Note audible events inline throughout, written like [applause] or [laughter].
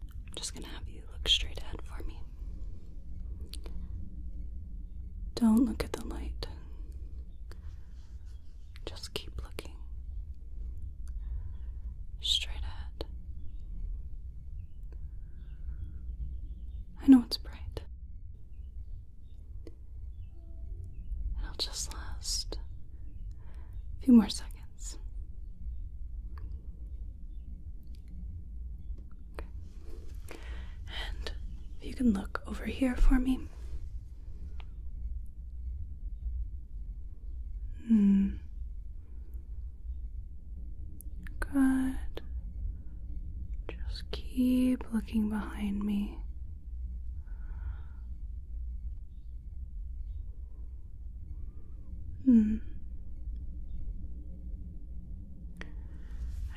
I'm just gonna have you look straight ahead for me. Don't look at the light. Just keep looking straight ahead. I know it's bright. It'll just last a few more seconds. And if you can look over here for me. Hmm. Good. Just keep looking behind me. Hmm.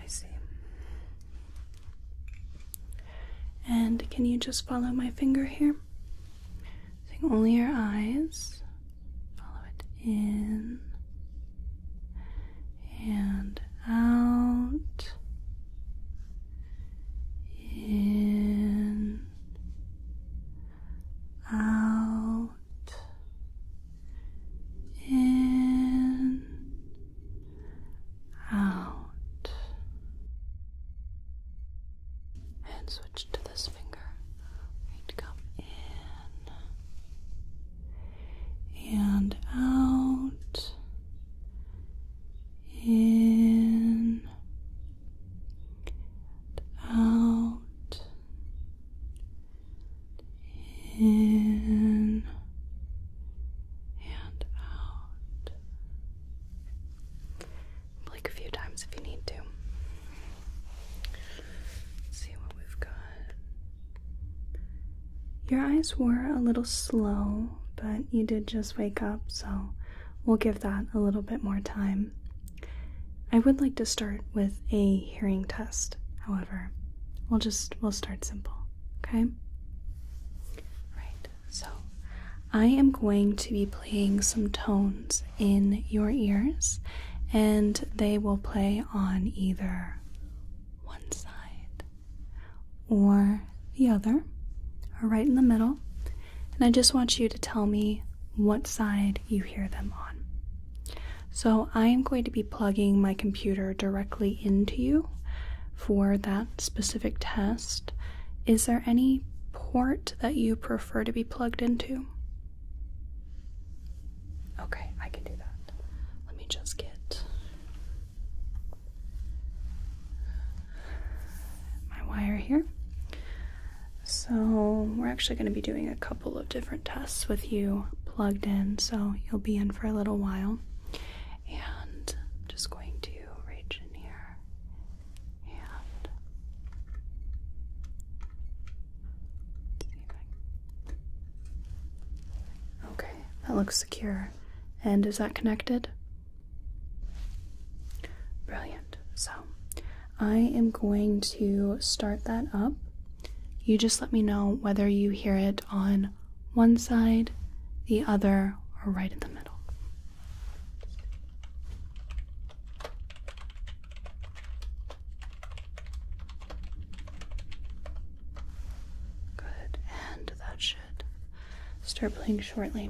I see. And can you just follow my finger here? Using only your eyes. Follow it in and out. In out, in, out, and switch to this finger. We're going to come in and out, in, and out in and out. Blink a few times if you need to. see what we've got. Your eyes were a little slow, but you did just wake up, so we'll give that a little bit more time. I would like to start with a hearing test, however. We'll just we'll start simple, okay? Right. So, I am going to be playing some tones in your ears and they will play on either one side or the other or right in the middle and I just want you to tell me what side you hear them on. So I am going to be plugging my computer directly into you for that specific test. Is there any port that you prefer to be plugged into? Okay, I can do that. Let me just get my wire here. So, we're actually going to be doing a couple of different tests with you plugged in, so you'll be in for a little while. And just going to reach in here Okay, that looks secure. And is that connected? Brilliant. So I am going to start that up. You just let me know whether you hear it on one side, the other, or right in the middle. Good, and that should start playing shortly.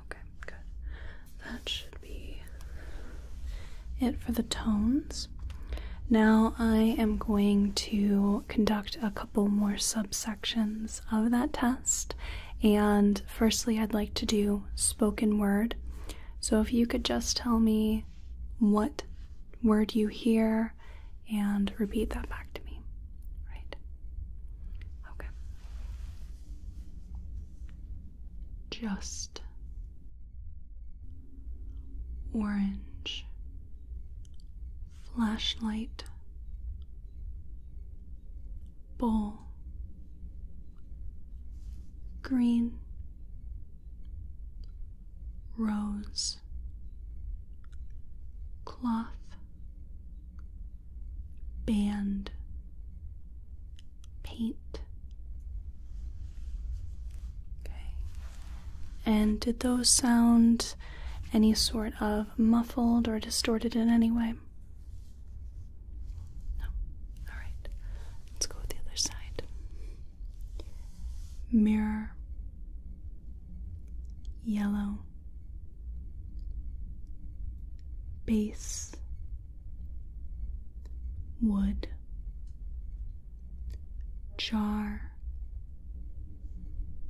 Okay, good. That should be it for the tones. Now I am going to conduct a couple more subsections of that test. And firstly, I'd like to do spoken word. So if you could just tell me what word you hear and repeat that back to me. Right? Okay. Just orange flashlight bowl, green, rose, cloth, band, paint. Okay. And did those sound any sort of muffled or distorted in any way? No. All right. Let's go with the other side. Mirror. Yellow. Base. Wood. Jar.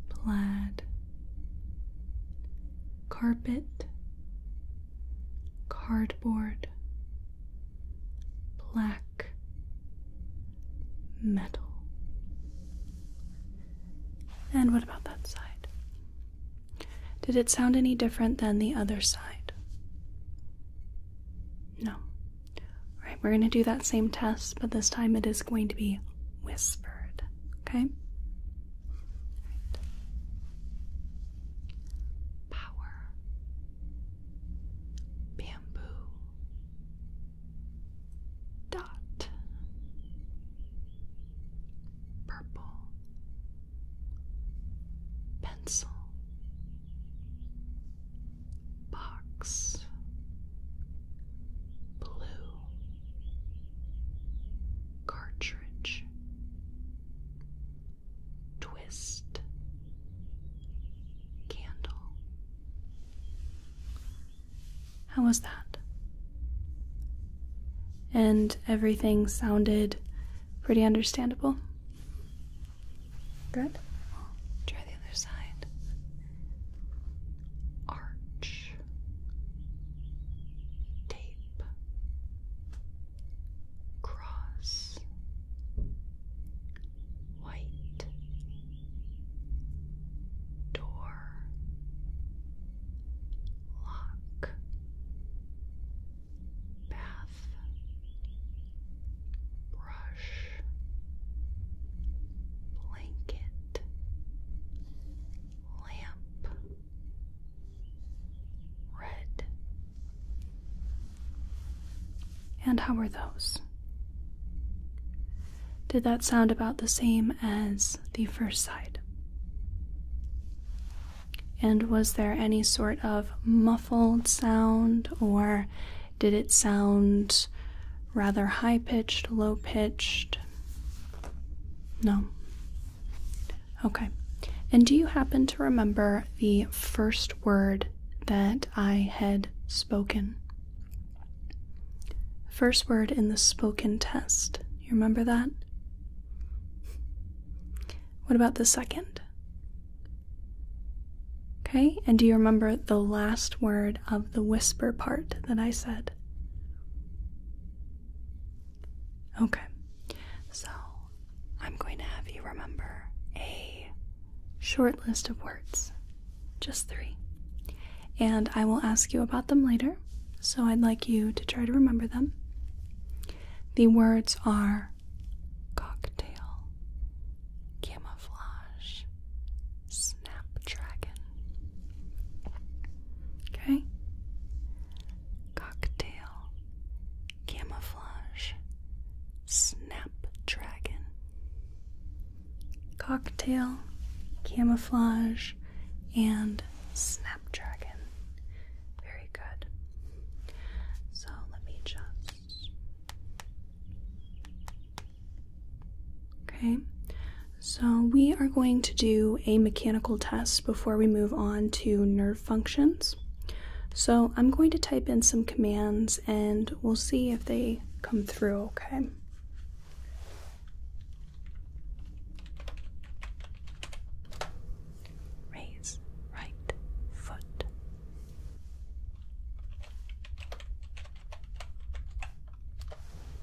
Plaid. Carpet cardboard, black metal. And what about that side? Did it sound any different than the other side? No. All right, we're going to do that same test, but this time it is going to be whispered. Okay? power, bamboo, dot, purple, pencil, box, blue. Cartridge, twist, candle. How was that? And everything sounded pretty understandable. Good. try the other side. Arch. Tape cross white door lock bath brush blanket lamp Red. And how were those? Did that sound about the same as the first side? And was there any sort of muffled sound, or did it sound rather high pitched, low pitched? No. Okay. And do you happen to remember the first word that I had spoken? First word in the spoken test. You remember that? What about the second? Okay, and do you remember the last word of the whisper part that I said? Okay, so I'm going to have you remember a short list of words, just three. And I will ask you about them later, so I'd like you to try to remember them. The words are cocktail, camouflage, snapdragon. Okay? cocktail, camouflage, snapdragon. Cocktail, camouflage, and snapdragon. Very good. So let me just. Okay, so we are going to do a Mechanical tests before we move on to nerve functions. So I'm going to type in some commands and we'll see if they come through okay. Raise right foot.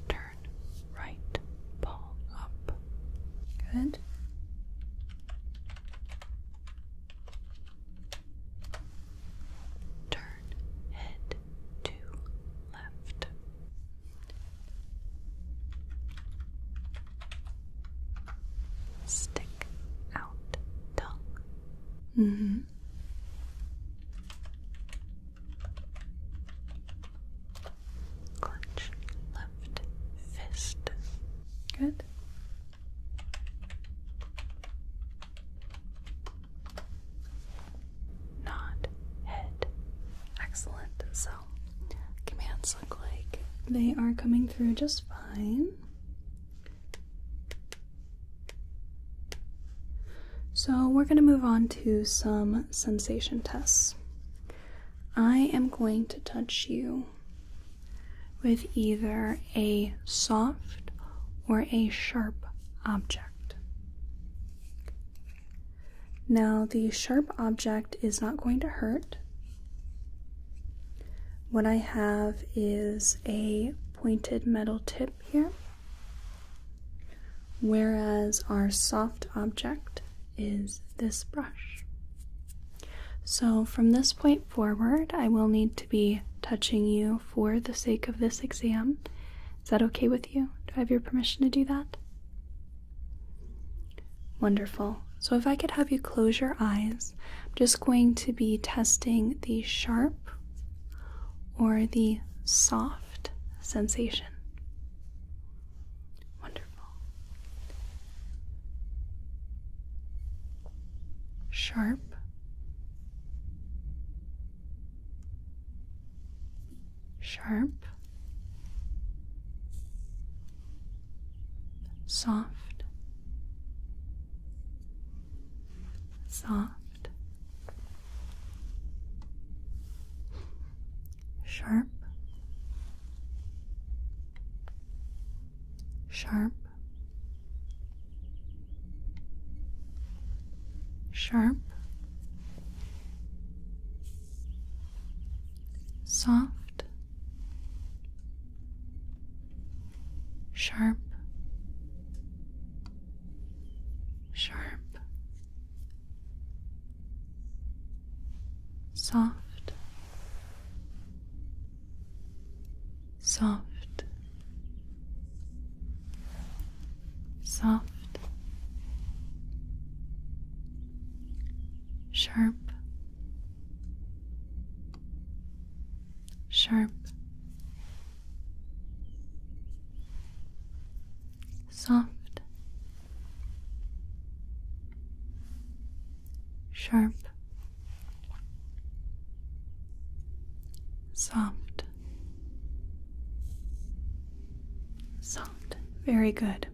Turn right palm up. Good. Turn head to left. Stick out tongue. -hmm. Clutch left fist. Good. Nod head. Excellent. So commands look like they are coming through just fine. So, we're going to move on to some sensation tests. I am going to touch you with either a soft or a sharp object. Now, the sharp object is not going to hurt. What I have is a pointed metal tip here, whereas our soft object is this brush. So, from this point forward, I will need to be touching you for the sake of this exam. Is that okay with you? Do I have your permission to do that? Wonderful. So, if I could have you close your eyes, I'm just going to be testing the sharp or the soft sensation. Wonderful. Sharp. Sharp. Soft. Soft sharp, sharp, sharp, soft, sharp, sharp soft, soft, soft, sharp, sharp soft, sharp, soft, soft. Very good.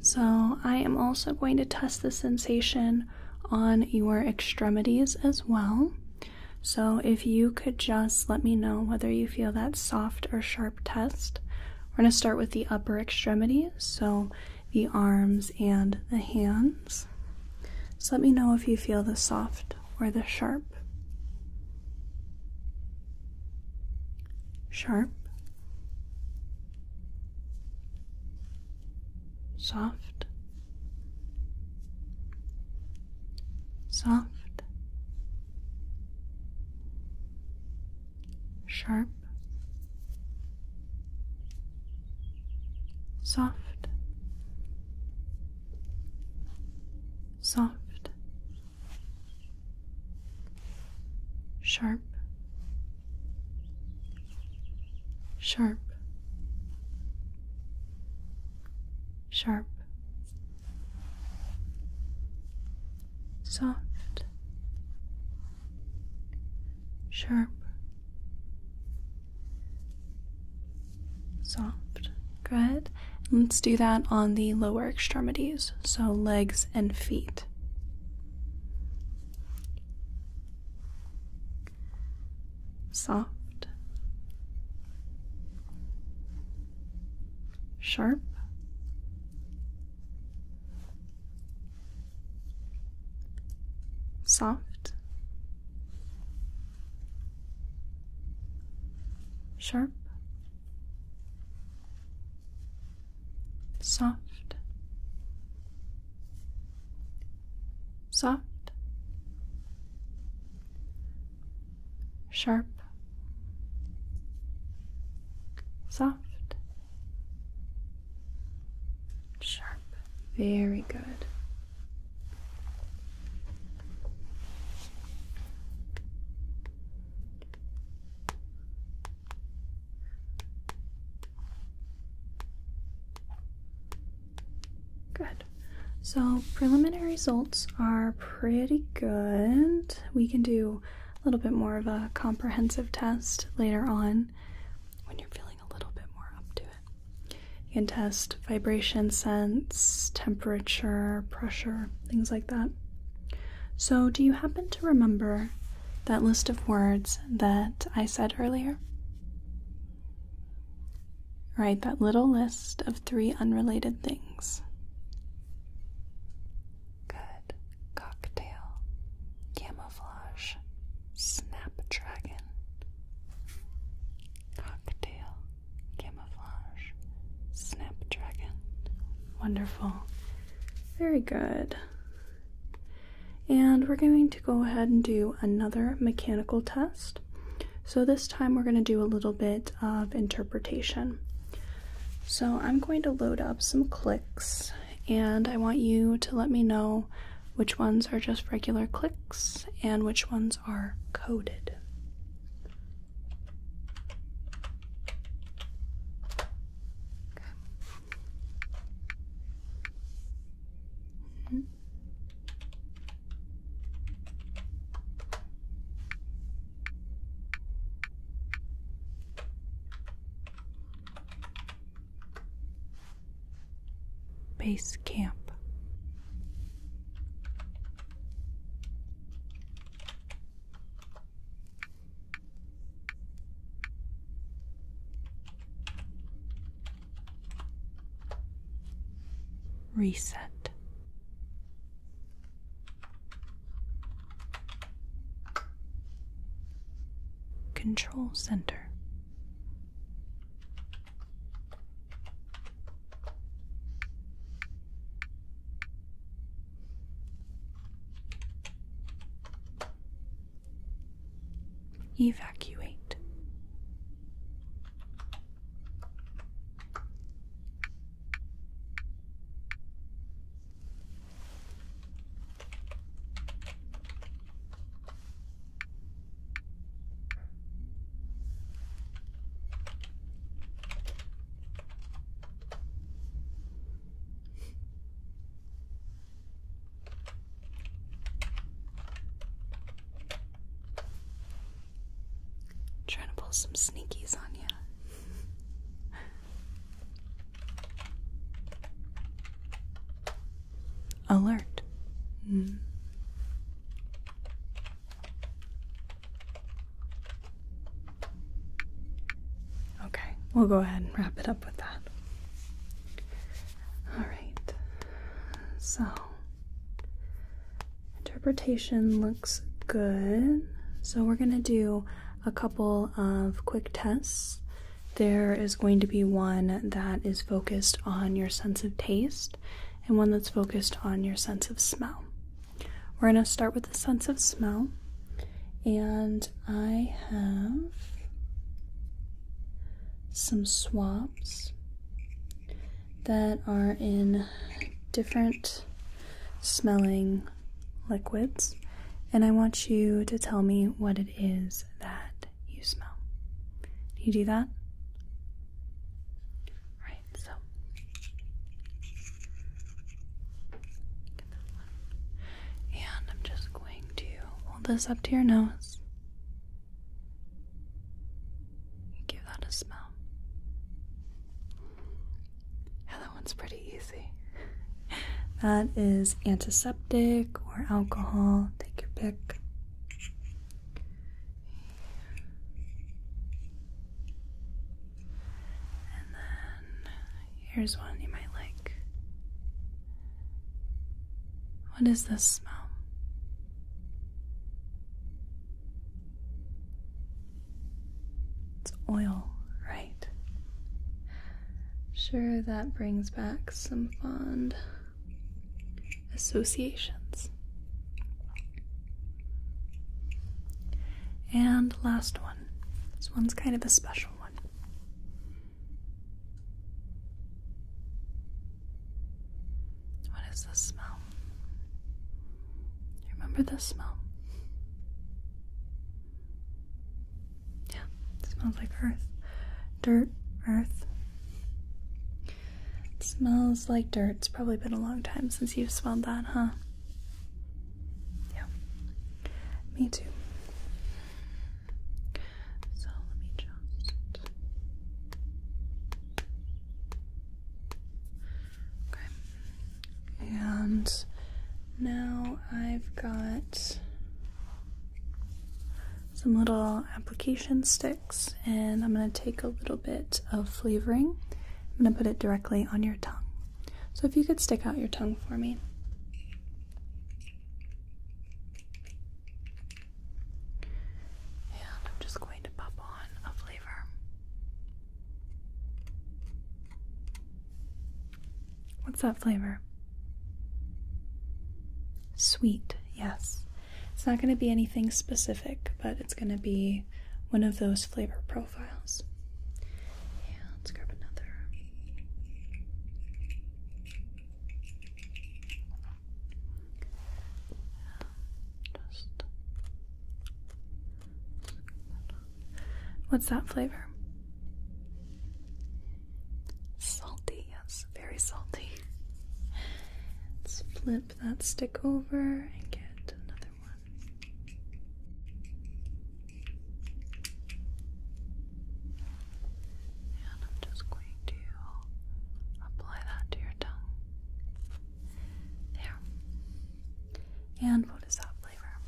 So, I am also going to test the sensation on your extremities as well. So, if you could just let me know whether you feel that soft or sharp test, we're going to start with the upper extremities, so the arms and the hands. So let me know if you feel the soft or the sharp. Sharp. Soft. Soft sharp, soft, soft, sharp, sharp, sharp, soft, sharp, soft. Good. let's do that on the lower extremities, so legs and feet. Soft, sharp, soft, sharp, soft, soft, sharp soft, sharp. Very good. Good. So preliminary results are pretty good. We can do a little bit more of a comprehensive test later on when you're feeling a little bit more up to it. You can test vibration sense, temperature, pressure, things like that. So, do you happen to remember that list of words that I said earlier? Right, that little list of three unrelated things good cocktail, camouflage, snapdragon, cocktail, camouflage, snapdragon. Wonderful. Very good. And we're going to go ahead and do another mechanical test. So this time we're going to do a little bit of interpretation. So I'm going to load up some clicks and I want you to let me know which ones are just regular clicks and which ones are coded. Base Camp. Reset. Control Center. Evacuate. Trying to pull some sneakies on you. [laughs] Alert. Hmm. Okay, we'll go ahead and wrap it up with that. Alright, so interpretation looks good. So we're going to do a couple of quick tests. There is going to be one that is focused on your sense of taste and one that's focused on your sense of smell. We're going to start with the sense of smell, and I have some swabs that are in different smelling liquids, and I want you to tell me what it is that you smell. Can you do that? Right, so And I'm just going to hold this up to your nose. Give that a smell that one's pretty easy. that is antiseptic or alcohol. Take your pick. And then here's one you might like. What is this smell? It's oil, right? Sure, that brings back some fond associations. And last one. This one's kind of a special one. What is this smell? You remember this smell? Yeah, smells like earth. Dirt, earth. smells like dirt. It's probably been a long time since you've smelled that, huh? Yeah. Me too. So let me just Okay. And now I've got some little application sticks and I'm going to take a little bit of flavoring. I'm going to put it directly on your tongue. So if you could stick out your tongue for me. And I'm just going to pop on a flavor. What's that flavor? Sweet, yes. It's not going to be anything specific, but it's going to be one of those flavor profiles. Yeah, let's grab another. just What's that flavor? Salty, yes, very salty. Let's flip that stick over and get another one. And I'm just going to apply that to your tongue. There. And what is that flavor?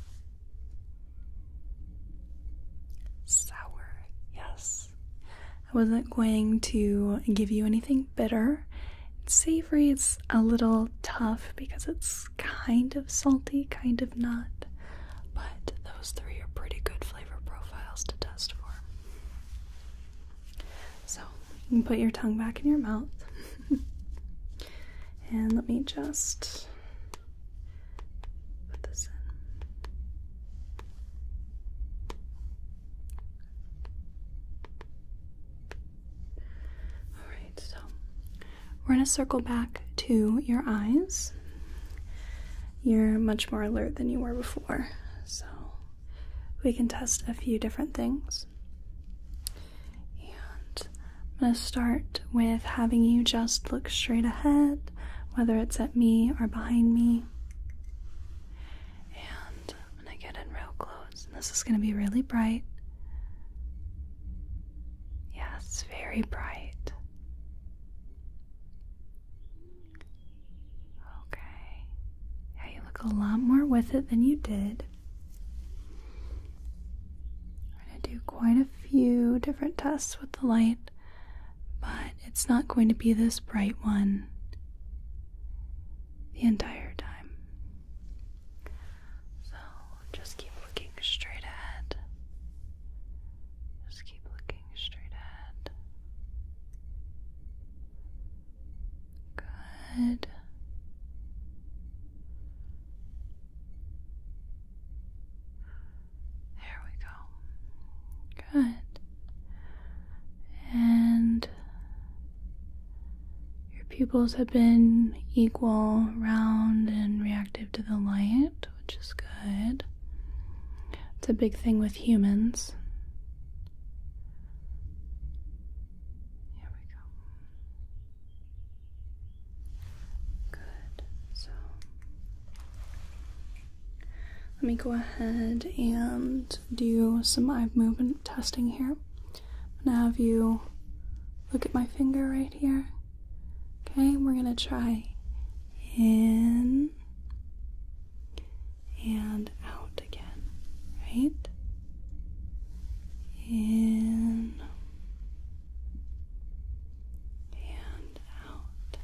Sour, yes. I wasn't going to give you anything bitter. It's savory, it's a little tough because it's kind of salty, kind of not. But those three are pretty good flavor profiles to test for. So you can put your tongue back in your mouth. [laughs] [laughs] and let me just put this in. Alright, so we're going to circle back to your eyes. You're much more alert than you were before, so we can test a few different things. And I'm going to start with having you just look straight ahead, whether it's at me or behind me. And I'm going to get in real close. this is going to be really bright. Yes, very bright. Okay. Yeah, you look a lot more with it than you did. We're going to do quite a few different tests with the light, but it's not going to be this bright one the entire time. So just keep looking straight ahead. Just keep looking straight ahead. Good. There we go. Good. And your pupils have been equal, round, and reactive to the light, which is good. It's a big thing with humans. Here we go. Good. So let me go ahead and do some eye movement testing here. I'm gonna have you look at my finger right here. Okay, we're gonna try in and out again, right? in and out,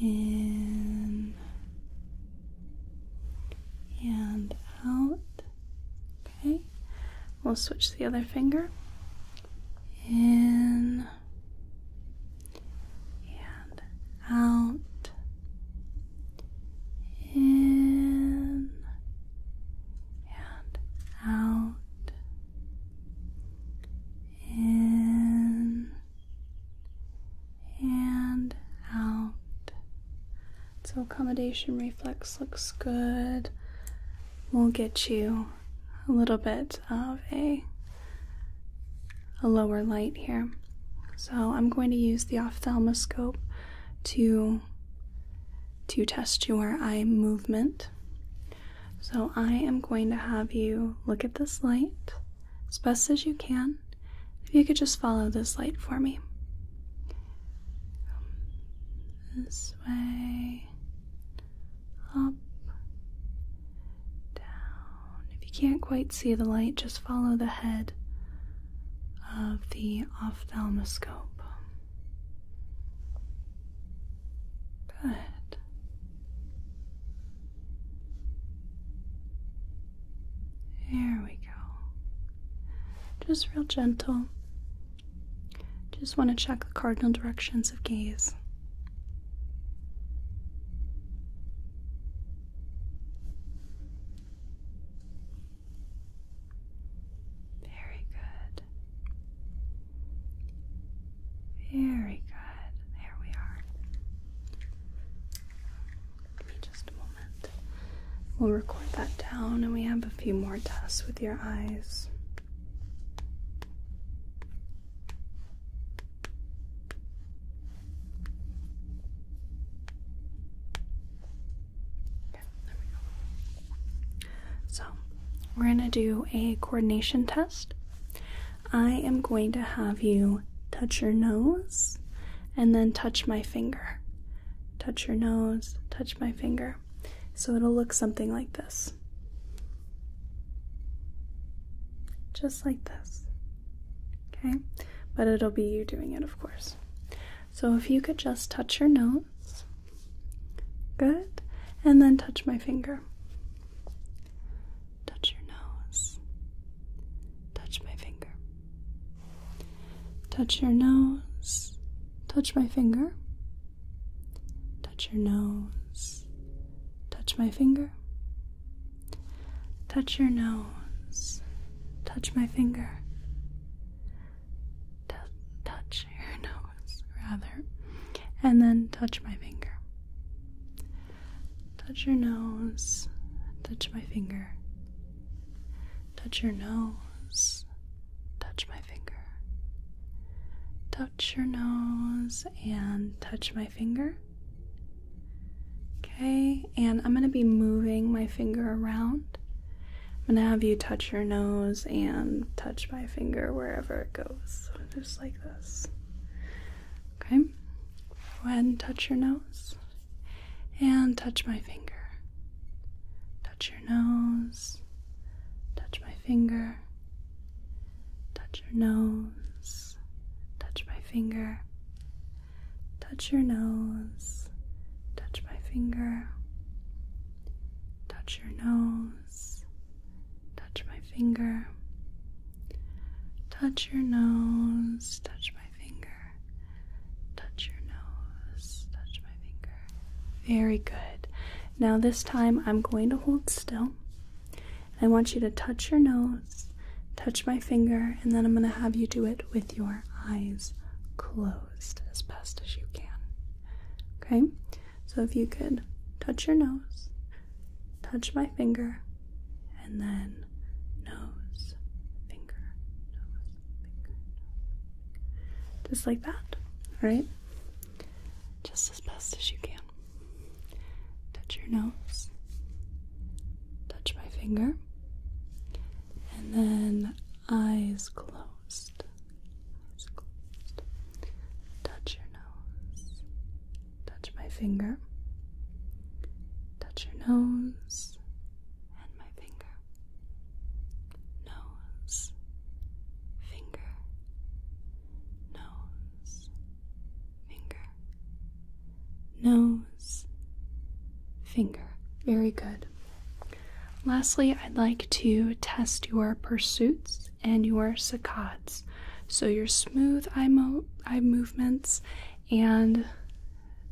in and out. Okay, we'll switch the other finger in and out in and out, in and out. So, accommodation reflex looks good. We'll get you a little bit of a a lower light here. So I'm going to use the ophthalmoscope to to test your eye movement. So I am going to have you look at this light as best as you can. If you could just follow this light for me. This way, up, down. If you can't quite see the light, just follow the head of the ophthalmoscope. Good. There we go. Just real gentle. Just want to check the cardinal directions of gaze. Very good. Very good. There we are. Give me just a moment. We'll record that down, and we have a few more tests with your eyes. So, we're going to do a coordination test. I am going to have you touch your nose and then touch my finger. Touch your nose, touch my finger. So it'll look something like this. Just like this. Okay? But it'll be you doing it, of course. So if you could just touch your nose. Good. And then touch my finger. Touch your nose. Touch my finger. Touch your nose. Touch my finger. Touch your nose. Touch my finger. Touch your nose. Touch my finger. touch your [laughs] nose, rather. And then touch my finger. Touch your nose. Touch my finger. Touch your nose. Touch my finger. Touch your nose and touch my finger. Okay, and I'm going to be moving my finger around. I'm going to have you touch your nose and touch my finger wherever it goes, just like this. Okay, go ahead and touch your nose and touch my finger. Touch your nose, touch my finger, touch your nose, touch my finger, touch your nose, touch my finger, touch your nose, touch my finger, touch your nose, touch my finger, touch your nose, touch my finger. Very good. Now, this time I'm going to hold still. I want you to touch your nose touch my finger, and then I'm going to have you do it with your eyes closed as best as you can. Okay? So if you could touch your nose, touch my finger, and then nose, finger, Just like that, right? Just as best as you can. Touch your nose, touch my finger, and then eyes closed. Touch your nose. Touch my finger. Touch your nose and my finger. Nose. Finger. Nose. Finger nose, finger. Very good. Lastly, I'd like to test your pursuits and your saccades. So, your smooth eye, mo eye movements and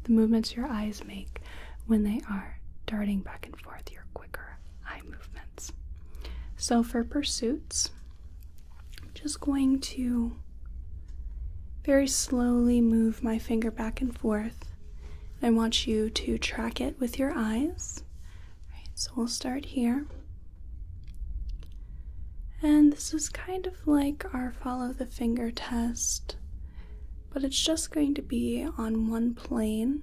the movements your eyes make when they are darting back and forth, your quicker eye movements. So, for pursuits, I'm just going to very slowly move my finger back and forth. I want you to track it with your eyes. so we'll start here. And this is kind of like our follow the finger test, but it's just going to be on one plane.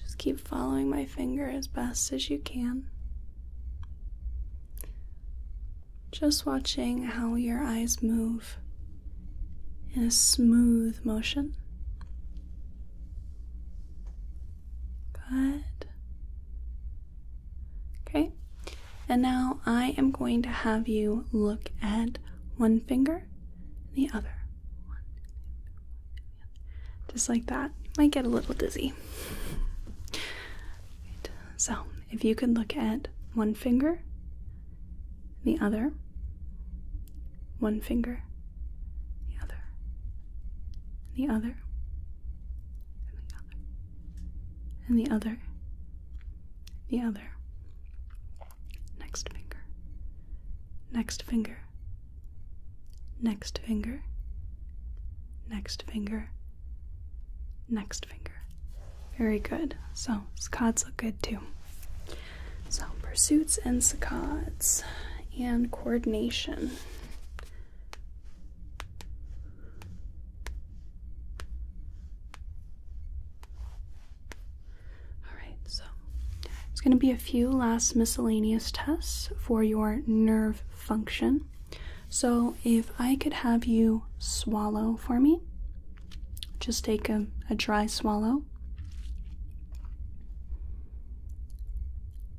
Just keep following my finger as best as you can. Just watching how your eyes move in a smooth motion. Good. Okay, and now I am going to have you look at one finger and the other. just like that. Might get a little dizzy. So if you could look at one finger, the other, one finger, the other, the other, the other, and the other, the other, next finger, next finger, next finger, next finger, Next finger. Very good. So, saccades look good too. So, pursuits and saccades and coordination. Alright, so it's going to be a few last miscellaneous tests for your nerve function. So, if I could have you swallow for me, just take a, a dry swallow.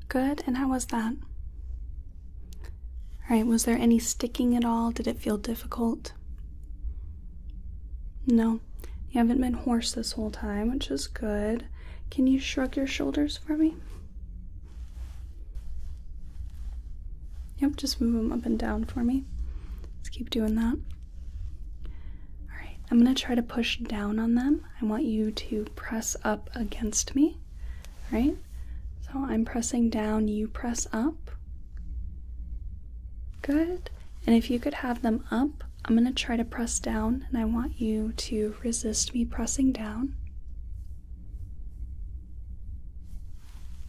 Good, and how was that? All right, was there any sticking at all? Did it feel difficult? No, you haven't been hoarse this whole time, which is good. Can you shrug your shoulders for me? Yep, just move them up and down for me. Let's keep doing that. Alright, I'm going to try to push down on them. I want you to press up against me. Alright, so I'm pressing down, you press up. Good. And if you could have them up, I'm going to try to press down, and I want you to resist me pressing down.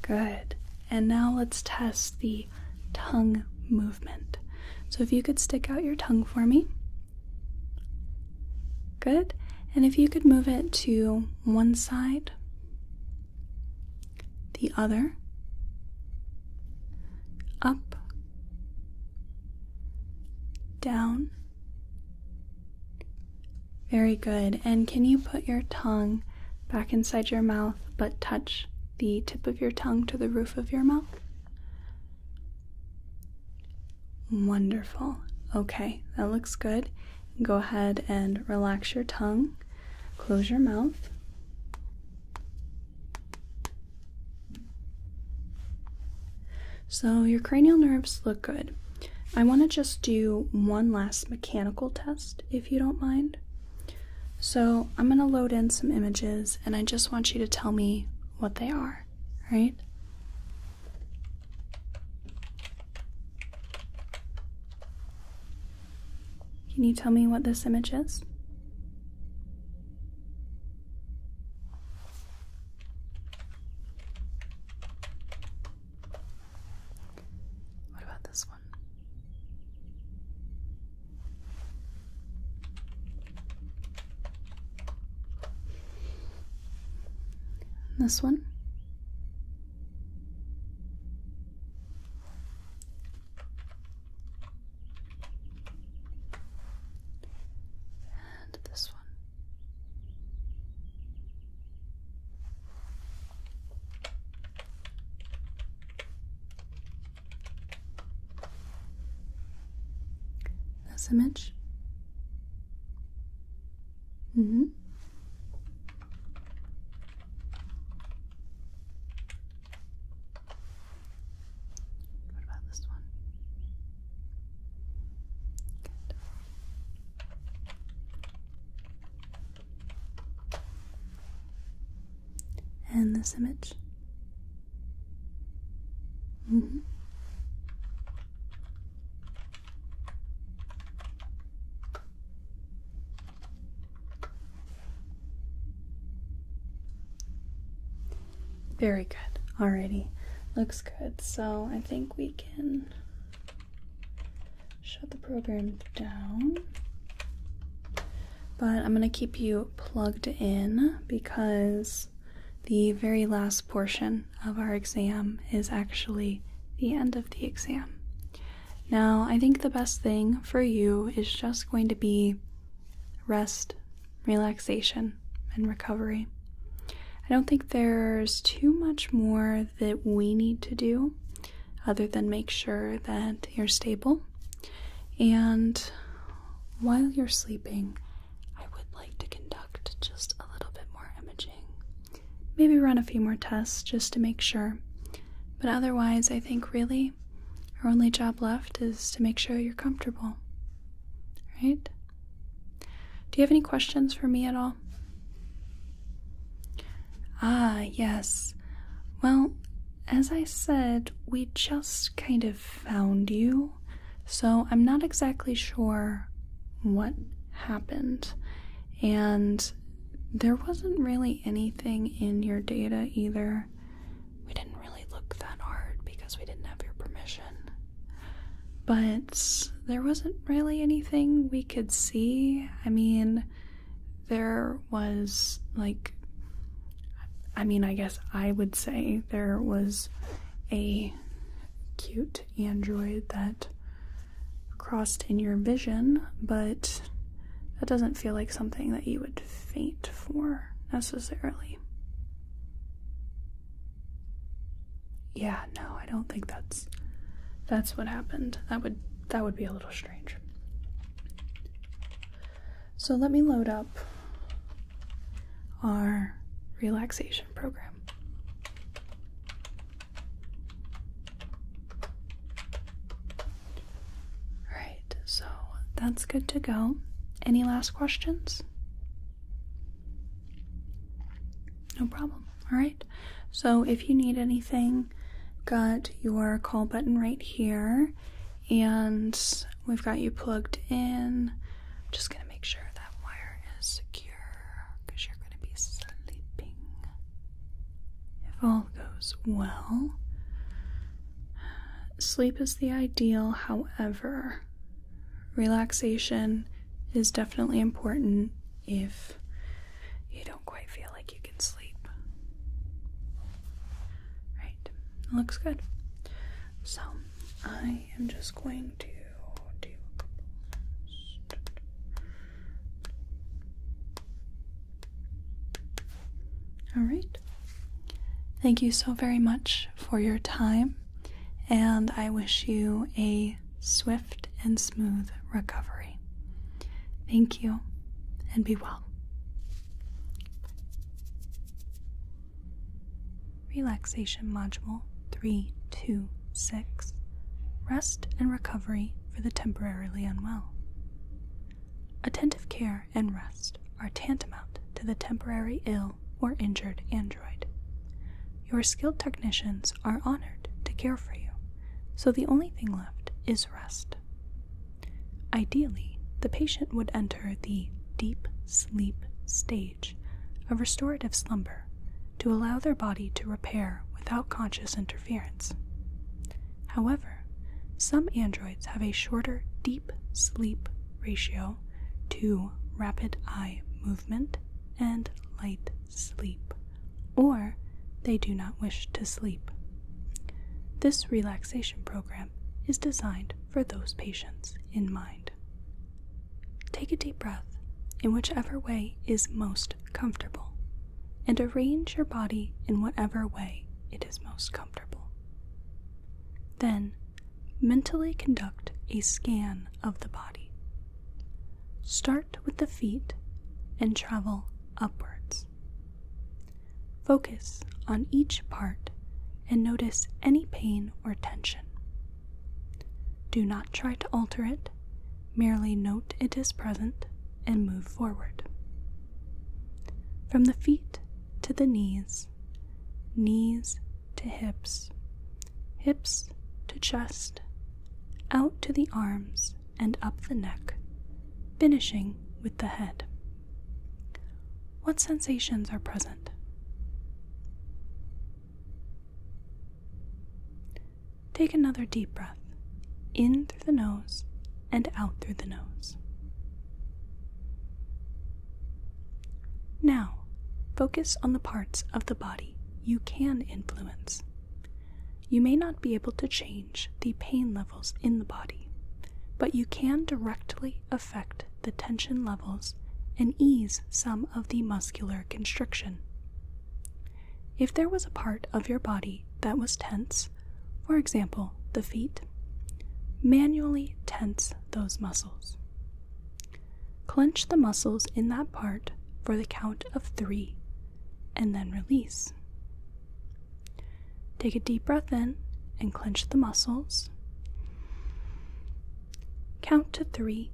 Good. And now let's test the tongue movement. So if you could stick out your tongue for me. Good. And if you could move it to one side, the other, up, down, very good. And can you put your tongue back inside your mouth but touch the tip of your tongue to the roof of your mouth? Wonderful. Okay, that looks good. Go ahead and relax your tongue. Close your mouth. So, your cranial nerves look good. I want to just do one last mechanical test if you don't mind. So, I'm going to load in some images and I just want you to tell me what they are, right? Can you tell me what this image is? What about this one? This one? And this one. This image? hmm. What about this one? Good. And this image. -hmm. Very good. Alrighty. Looks good. So I think we can shut the program down. But I'm going to keep you plugged in because the very last portion of our exam is actually the end of the exam. Now, I think the best thing for you is just going to be rest, relaxation, and recovery. I don't think there's too much more that we need to do other than make sure that you're stable. And while you're sleeping, I would like to conduct just a little bit more imaging. Maybe run a few more tests just to make sure. But otherwise, I think really our only job left is to make sure you're comfortable. Right? Do you have any questions for me at all? Ah, yes. Well, as I said, we just kind of found you, so I'm not exactly sure what happened. And there wasn't really anything in your data either. We didn't really look that hard because we didn't have your permission. But there wasn't really anything we could see. I mean, there was like, I mean, I guess I would say there was a cute android that crossed in your vision, but that doesn't feel like something that you would faint for necessarily. Yeah, no, I don't think that's that's what happened. That would that would be a little strange. So let me load up our relaxation program. All right, so that's good to go. Any last questions? No problem. All right. So if you need anything, got your call button right here, and we've got you plugged in. just gonna make sure that wire is secure because you're gonna be sleeping. If all goes well, sleep is the ideal. However, relaxation is definitely important if you don't quite feel like you can sleep. Right, looks good. So I am just going to do a couple. All right. Thank you so very much for your time and I wish you a swift and smooth recovery. Thank you, and be well. Relaxation Module 326 Rest and Recovery for the Temporarily Unwell. Attentive care and rest are tantamount to the temporary ill or injured android. Your skilled technicians are honored to care for you, so the only thing left is rest. Ideally, the patient would enter the deep sleep stage a restorative slumber to allow their body to repair without conscious interference. However, some androids have a shorter deep sleep ratio to rapid eye movement and light sleep, or they do not wish to sleep. This relaxation program is designed for those patients in mind. Take a deep breath in whichever way is most comfortable and arrange your body in whatever way it is most comfortable. Then mentally conduct a scan of the body Start with the feet and travel upwards. Focus on each part and notice any pain or tension. Do not try to alter it, merely note it is present and move forward. From the feet to the knees, knees to hips, hips to chest, out to the arms and up the neck, finishing with the head. What sensations are present? Take another deep breath in through the nose and out through the nose. Now, focus on the parts of the body you can influence. You may not be able to change the pain levels in the body, but you can directly affect the tension levels and ease some of the muscular constriction. If there was a part of your body that was tense, for example, the feet, manually tense those muscles. Clench the muscles in that part for the count of three and then release. Take a deep breath in and clench the muscles. Count to three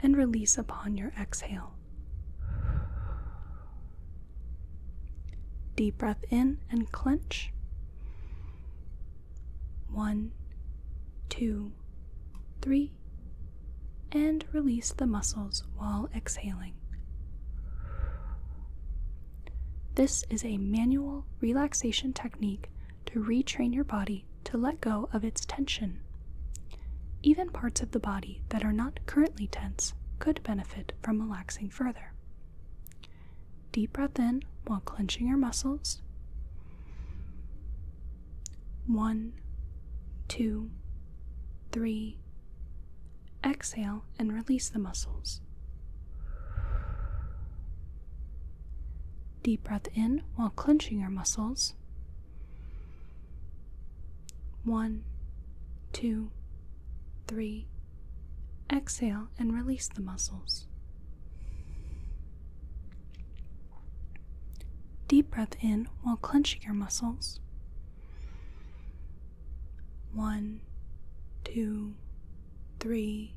and release upon your exhale. Deep breath in and clench. One, two, three, and release the muscles while exhaling. This is a manual relaxation technique to retrain your body to let go of its tension. Even parts of the body that are not currently tense could benefit from relaxing further. Deep breath in while clenching your muscles. One, two, three. Exhale and release the muscles. Deep breath in while clenching your muscles. One, two, three. Exhale and release the muscles. Deep breath in while clenching your muscles. One, two, three.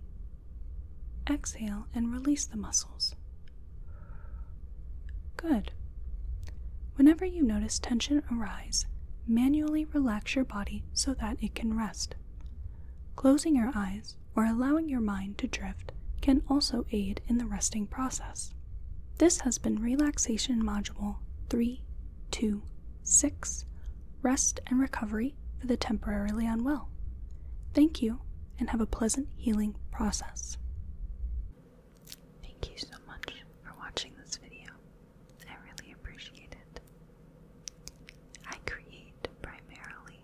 Exhale and release the muscles. Good. Whenever you notice tension arise, manually relax your body so that it can rest. Closing your eyes or allowing your mind to drift can also aid in the resting process. This has been Relaxation Module 326 Rest and Recovery for the Temporarily Unwell. Thank you and have a pleasant healing process. Thank you so much for watching this video. I really appreciate it. I create primarily